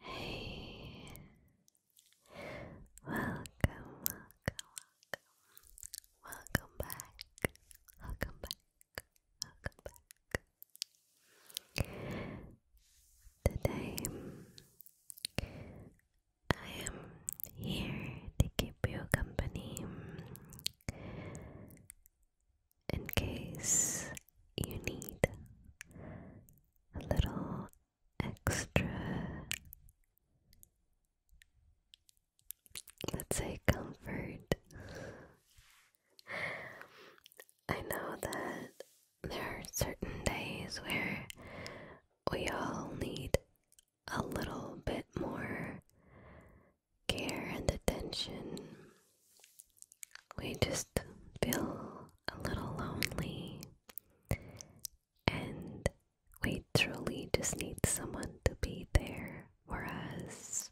Hey, welcome, welcome, welcome, back, welcome back, welcome back. Today I am here to keep you company in case you need a little extra, let's say, comfort. I know that there are certain days where we all need a little bit more care and attention. We just feel a little lonely and we truly just need someone to be there for us.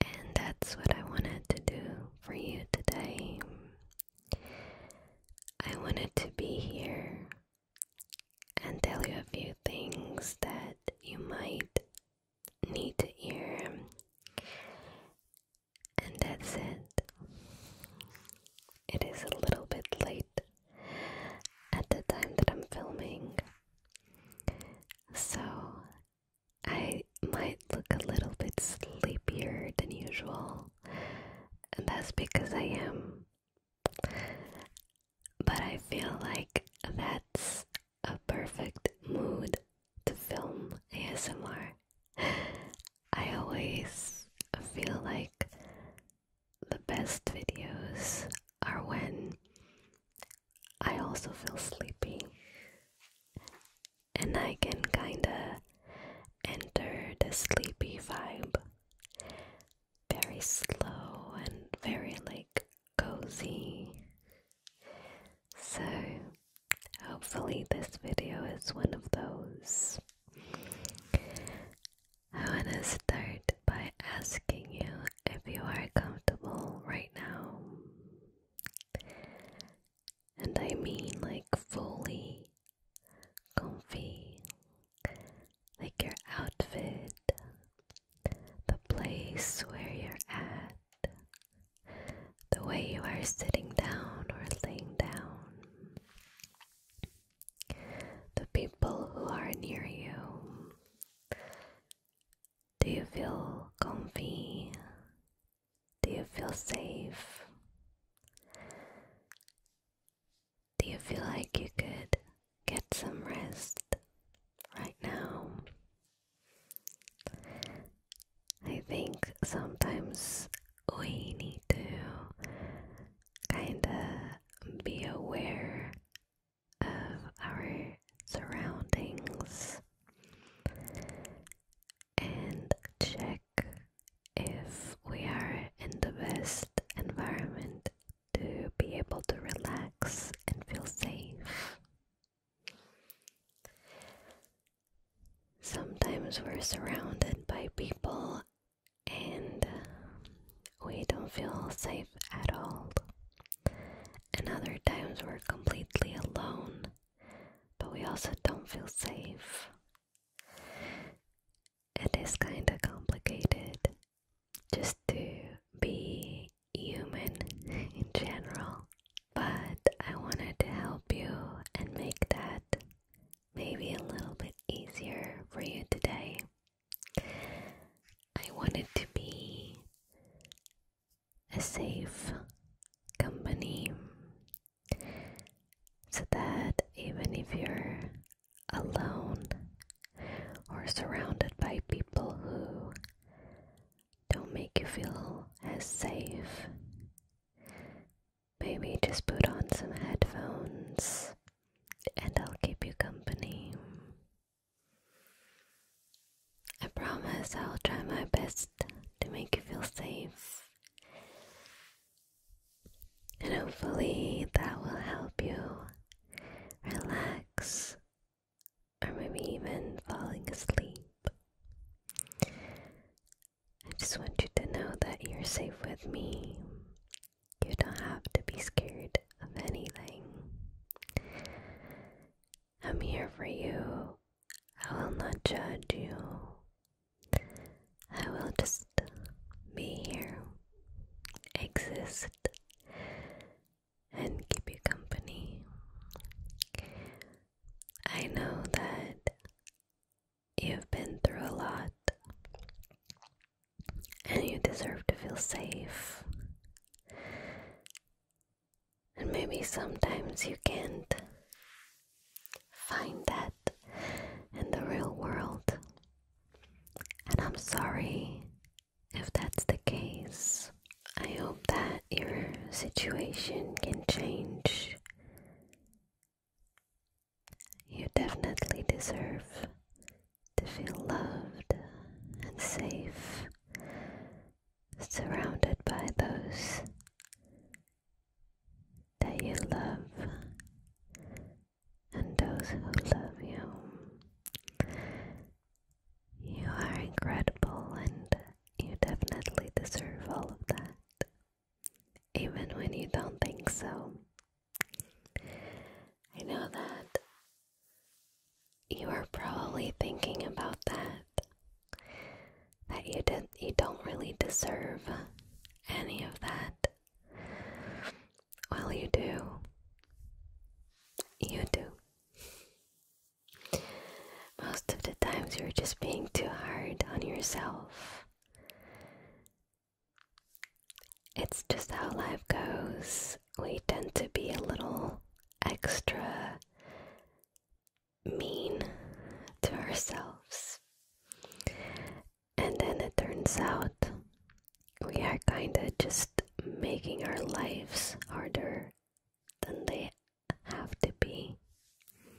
And that's what I wanted to do for you today. I wanted to be here and tell you a few things that you might need to hear. And that's it. It is a little bit late at the time that I'm filming. So I might look a little bit sleepier than usual and that's because I am. But I feel like that's a perfect mood to film ASMR. I always feel like the best videos are when I also feel sleepy and I can kinda enter the sleepy vibe very slow and very like cozy. So, hopefully, this video is one of those. I want to start by asking you if you are comfortable right now. And I mean like fully comfy, like your outfit, the place where you're at, the way you are sitting down or laying down, the people who are near you. Do you feel comfy? Do you feel safe? Do you feel like you could get some rest right now? I think sometimes we need to kind of be aware of our surroundings and check if we are in the best environment to be able to relax and feel safe. Sometimes we're surrounded by people and we don't feel safe at all. And other times we're completely alone, but we also don't feel safe it is kind of complicated just to be human in general, but I wanted to help you and make that maybe a little bit easier for you today. I wanted to be a safe company so that even if you're alone or surrounded by people who don't make you feel as safe, maybe just put on some headphones and I'll keep you company. I promise I'll try my best to make you feel safe and hopefully that will help you relax or maybe even falling asleep. I just want you to know that you're safe with me. You don't have to be scared of anything. I'm here for you. I will not judge you. I will just be here, exist, and keep you company. I know that you've been through a lot and you deserve to feel safe. And maybe sometimes you can't find that in the real world. And I'm sorry if that's the case. I hope that your situation can change. You definitely deserve to feel loved and safe, surrounded by those that you love and those who love you. You are incredible and you definitely deserve all of that, even when you don't think so. I know that you are probably thinking about that, that you, did, you don't really deserve any of that well, you do. You do. Most of the times you're just being too hard on yourself. It's just how life goes. We tend to be a little extra mean to ourselves. And then it turns out we are kind of just making our lives harder than they have to be.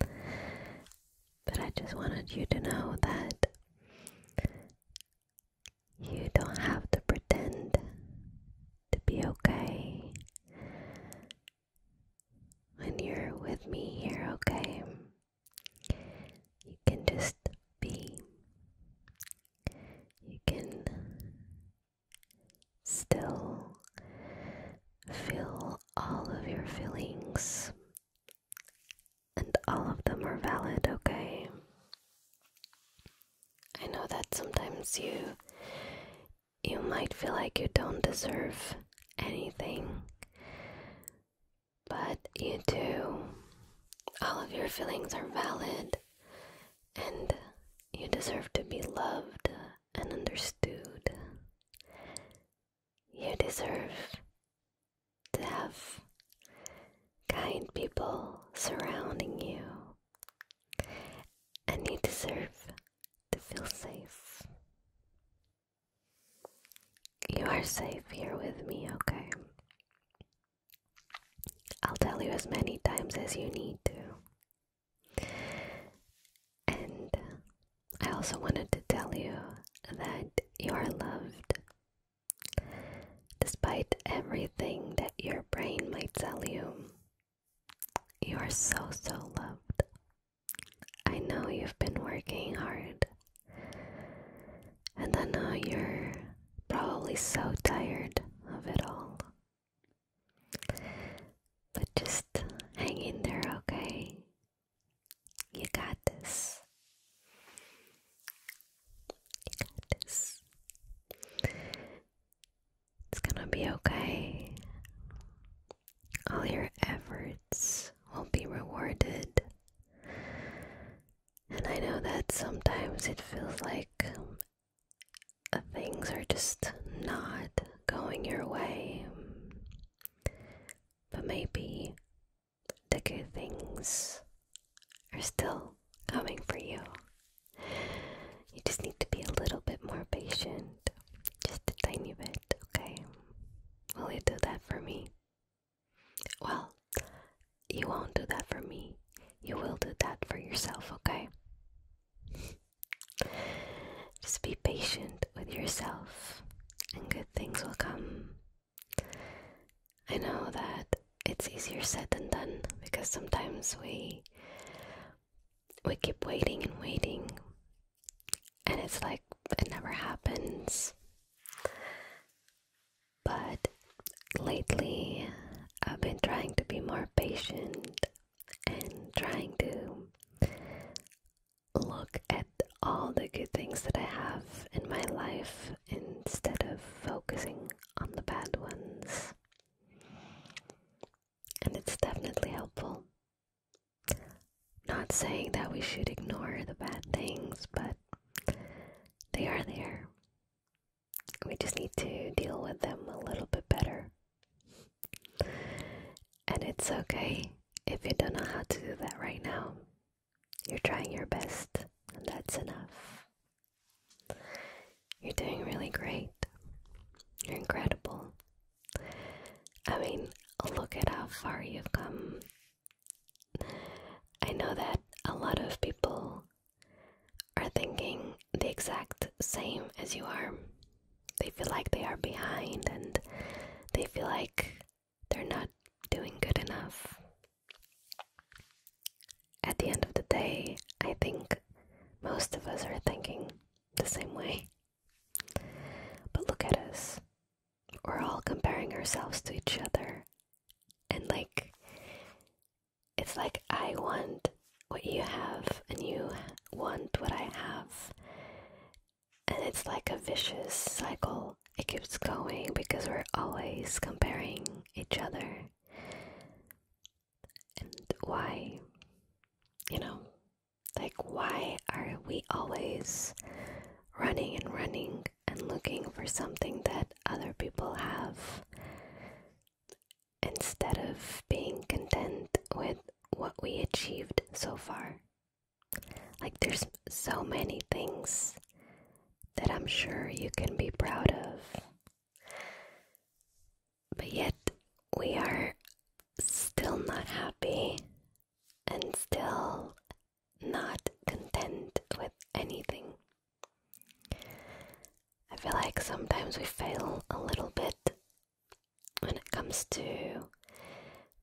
But I just wanted you to know that you don't have to pretend to be okay when you're with me here, okay? You can just be. You can still feel all of your feelings, and all of them are valid, okay? I know that sometimes you you might feel like you don't deserve anything but you do. All of your feelings are valid, and you deserve to be loved and understood. You deserve to have kind people surrounding you, and you deserve to feel safe. You are safe here with me, okay? I'll tell you as many times as you need to. And I also wanted to tell you that you are loved. Despite everything that your brain might tell you, you are so, so loved. I know you've been working hard and I know you're probably so tired of it all. But just hang in there, okay? You got this. You got this. It's gonna be okay. All your efforts will be rewarded. And I know that sometimes it feels like um, things are just not going your way. But maybe the good things are still coming for you. You just need to be a little bit more patient. Just a tiny bit, okay? Will you do that for me? Well, you won't do that for me. You will do that for yourself, okay? Just be patient with yourself, and good things will come. I know that it's easier said than done because sometimes we we keep waiting and waiting and it's like it never happens but lately, I've been trying to be more patient and trying to look at all the good things that I have in my life instead of focusing on the bad ones. And it's definitely helpful. Not saying that we should ignore the bad things, but they are there. We just need to deal with them a little bit better. And it's okay if you don't know how to do that right now. You're trying your best, and that's enough. You're doing really great. You're incredible. I mean, look at how far you've come I know that a lot of people are thinking the exact same as you are. They feel like they are behind and they feel like they're not doing good enough. At the end of the day, I think most of us are thinking the same way. But look at us we're all comparing ourselves to each other. And like, it's like I want what you have, and you want what I have. And it's like a vicious cycle. It keeps going because we're always comparing each other. And why? You know, like, why are we always running and running and looking for something that other people have instead of being content with what we achieved so far. Like, there's so many things that I'm sure you can be proud of, but yet we are still not happy and still not content with anything. I feel like sometimes we fail a little bit when it comes to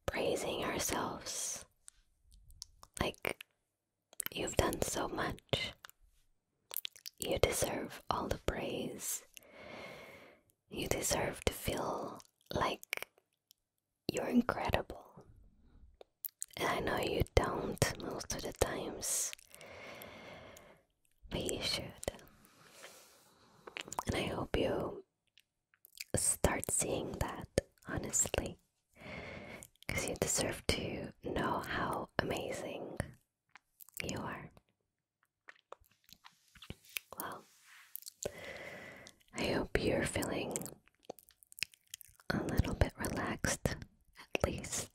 praising ourselves. Like, you've done so much, you deserve all the praise, you deserve to feel like you're incredible. And I know you don't most of the times, but you should. And I hope you start seeing that, honestly, because you deserve to know how amazing you are. Well, I hope you're feeling a little bit relaxed, at least.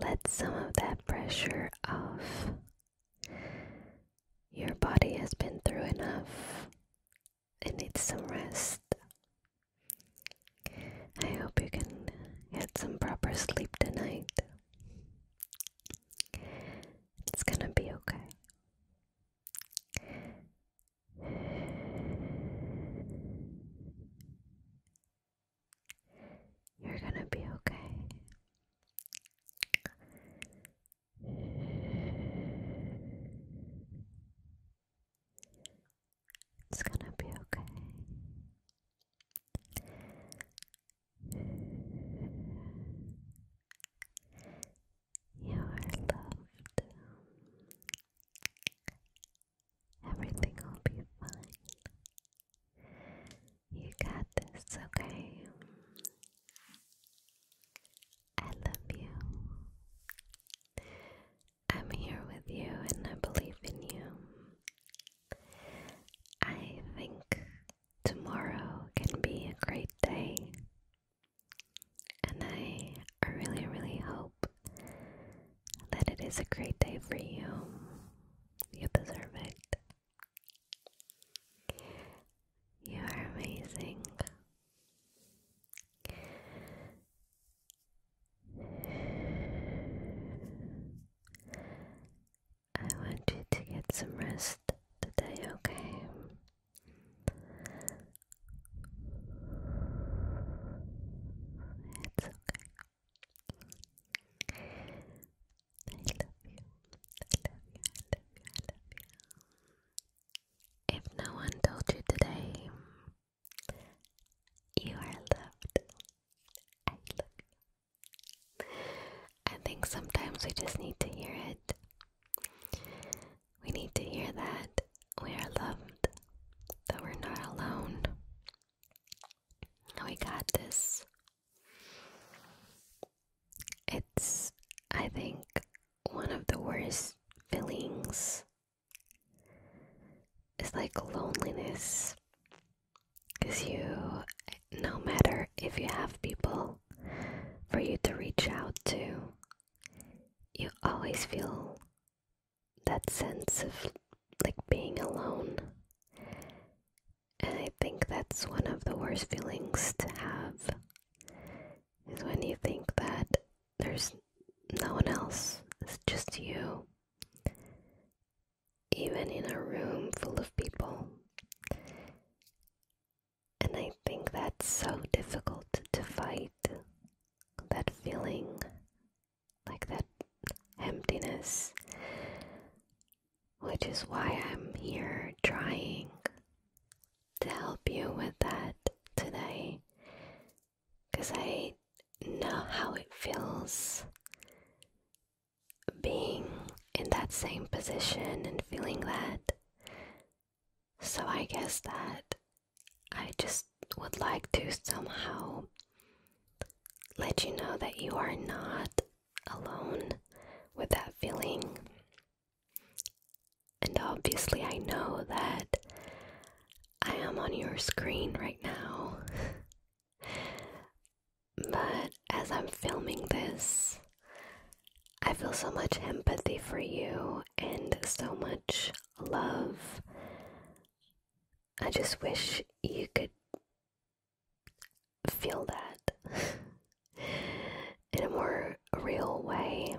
Let some of that pressure off. Your body has been through enough. It needs some rest. I hope you can get some proper sleep tonight. It's gonna be okay. You're gonna be okay. It's gonna be okay. You are loved. Everything will be fine. You got this, okay? I love you. I'm here with you and I believe in you. I think tomorrow can be a great day and I really, really hope that it is a great day for you. You deserve it. You are amazing. I want you to get some rest today, okay? It's okay. I love you. I love you. I love you. I love you. If no one told you today, you are loved. I I think sometimes we just need to hear it. We need to hear that we are loved, that we're not alone. We got this. It's, I think, one of the worst feelings. It's like loneliness. Because you, no matter if you have people for you to reach out to, you always feel that sense of like being alone. And I think that's one of the worst feelings to have is when you think that there's no one else, it's just you. Even in a room full of people, and I think that's so difficult to fight. That feeling, like that emptiness, which is why I'm here trying to help you with that today. Because I know how it feels being in that same position and feeling that so I guess that I just would like to somehow let you know that you are not alone with that feeling. And obviously, I know that I am on your screen right now. but as I'm filming this, I feel so much empathy for you and so much love. I just wish you could feel that in a more real way.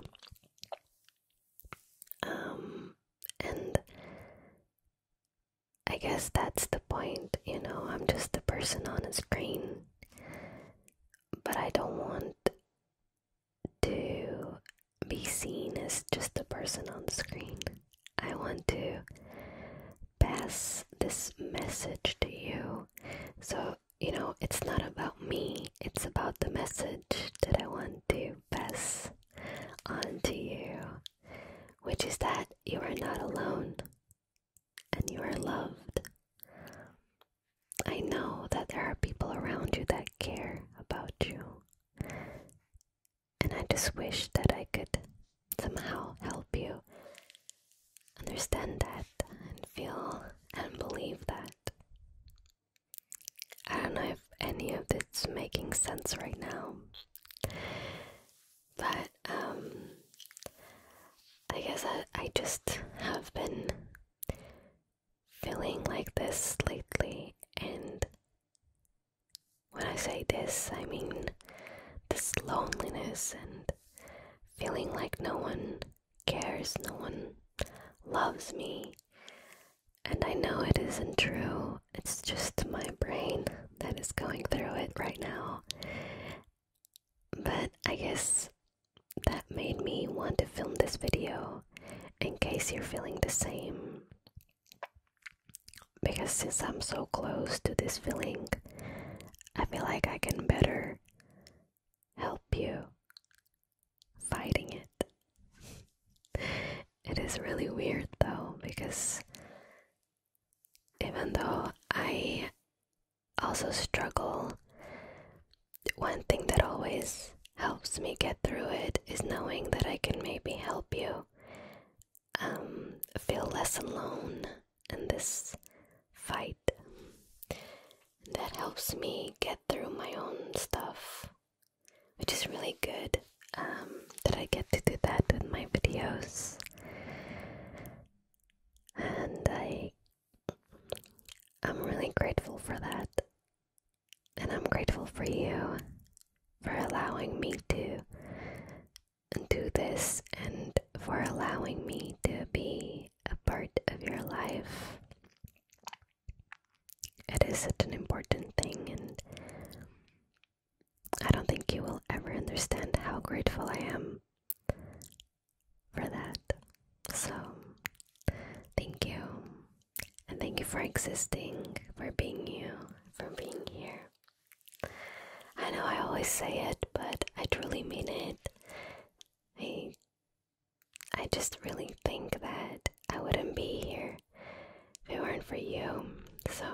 Um, and I guess that's the point, you know, I'm just a person on a screen, but I don't want to be seen as just a person on screen. I want to pass this message to you. So, you know, it's not about me, it's about the message that I want to pass onto you, which is that you are not alone and you are loved. I know that there are people around you that care about you. And I just wish that I could somehow help you understand that and feel and believe that. I don't know if any of it's making sense right now. But um I guess I, I just have been feeling like this lately, and when I say this, I mean this loneliness and feeling like no one cares, no one loves me. And I know it isn't true, it's just my brain that is going through it right now. But I guess that made me want to film this video in case you're feeling the same. Because since I'm so close to this feeling, I feel like I can better help you fighting it. It is really weird though, because even though I also struggle one thing that always helps me get through it is knowing that I can maybe help you um, feel less alone in this fight. That helps me get through my own stuff, which is really good um, that I get to do that with my videos. And I'm really grateful for that. And I'm grateful for you for allowing me to do this and for allowing me to be a part of your life. It is such an important thing, and I don't think you will ever understand how grateful I am for that. So, thank you. And thank you for existing, for being you, for being here. I know I always say it, but I truly mean it. I I just really think that I wouldn't be here if it weren't for you. So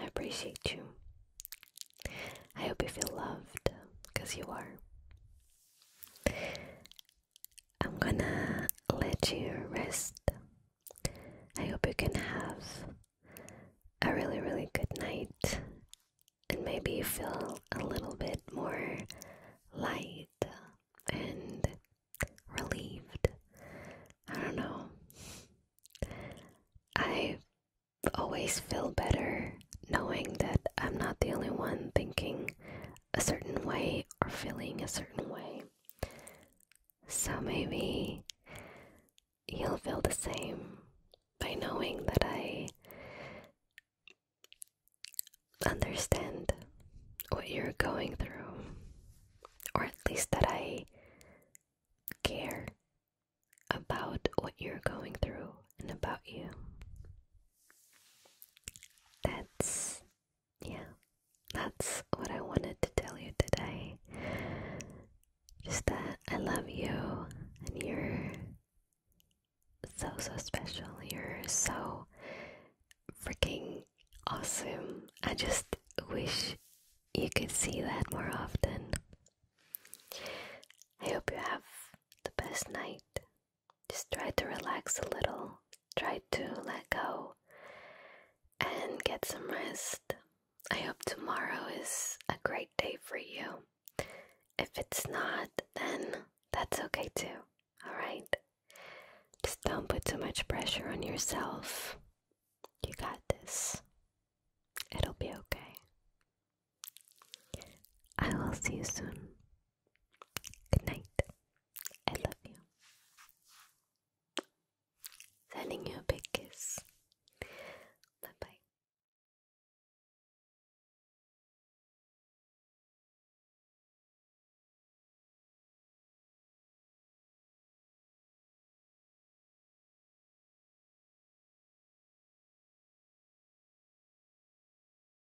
I appreciate you. I hope you feel loved because you are. I'm gonna let you rest. I hope you can have a really, really good night and maybe you feel a little bit more light and relieved. I don't know. I always feel better knowing that I'm not the only one thinking a certain way or feeling a certain way. So maybe you'll feel the same by knowing that I understand what you're going through, or at least that I care about what you're going through and about you. That's yeah, that's what I wanted to tell you today. Just that I love you and you're so so special. You're so freaking awesome. I just wish you could see that more often. I hope you have the best night just try to relax a little, try to let go and get some rest. I hope tomorrow is a great day for you. If it's not, then that's okay too, alright? Just don't put too much pressure on yourself. You got this. It'll be okay. I will see you soon. Good night. I love you. Sending you a big kiss. Bye bye.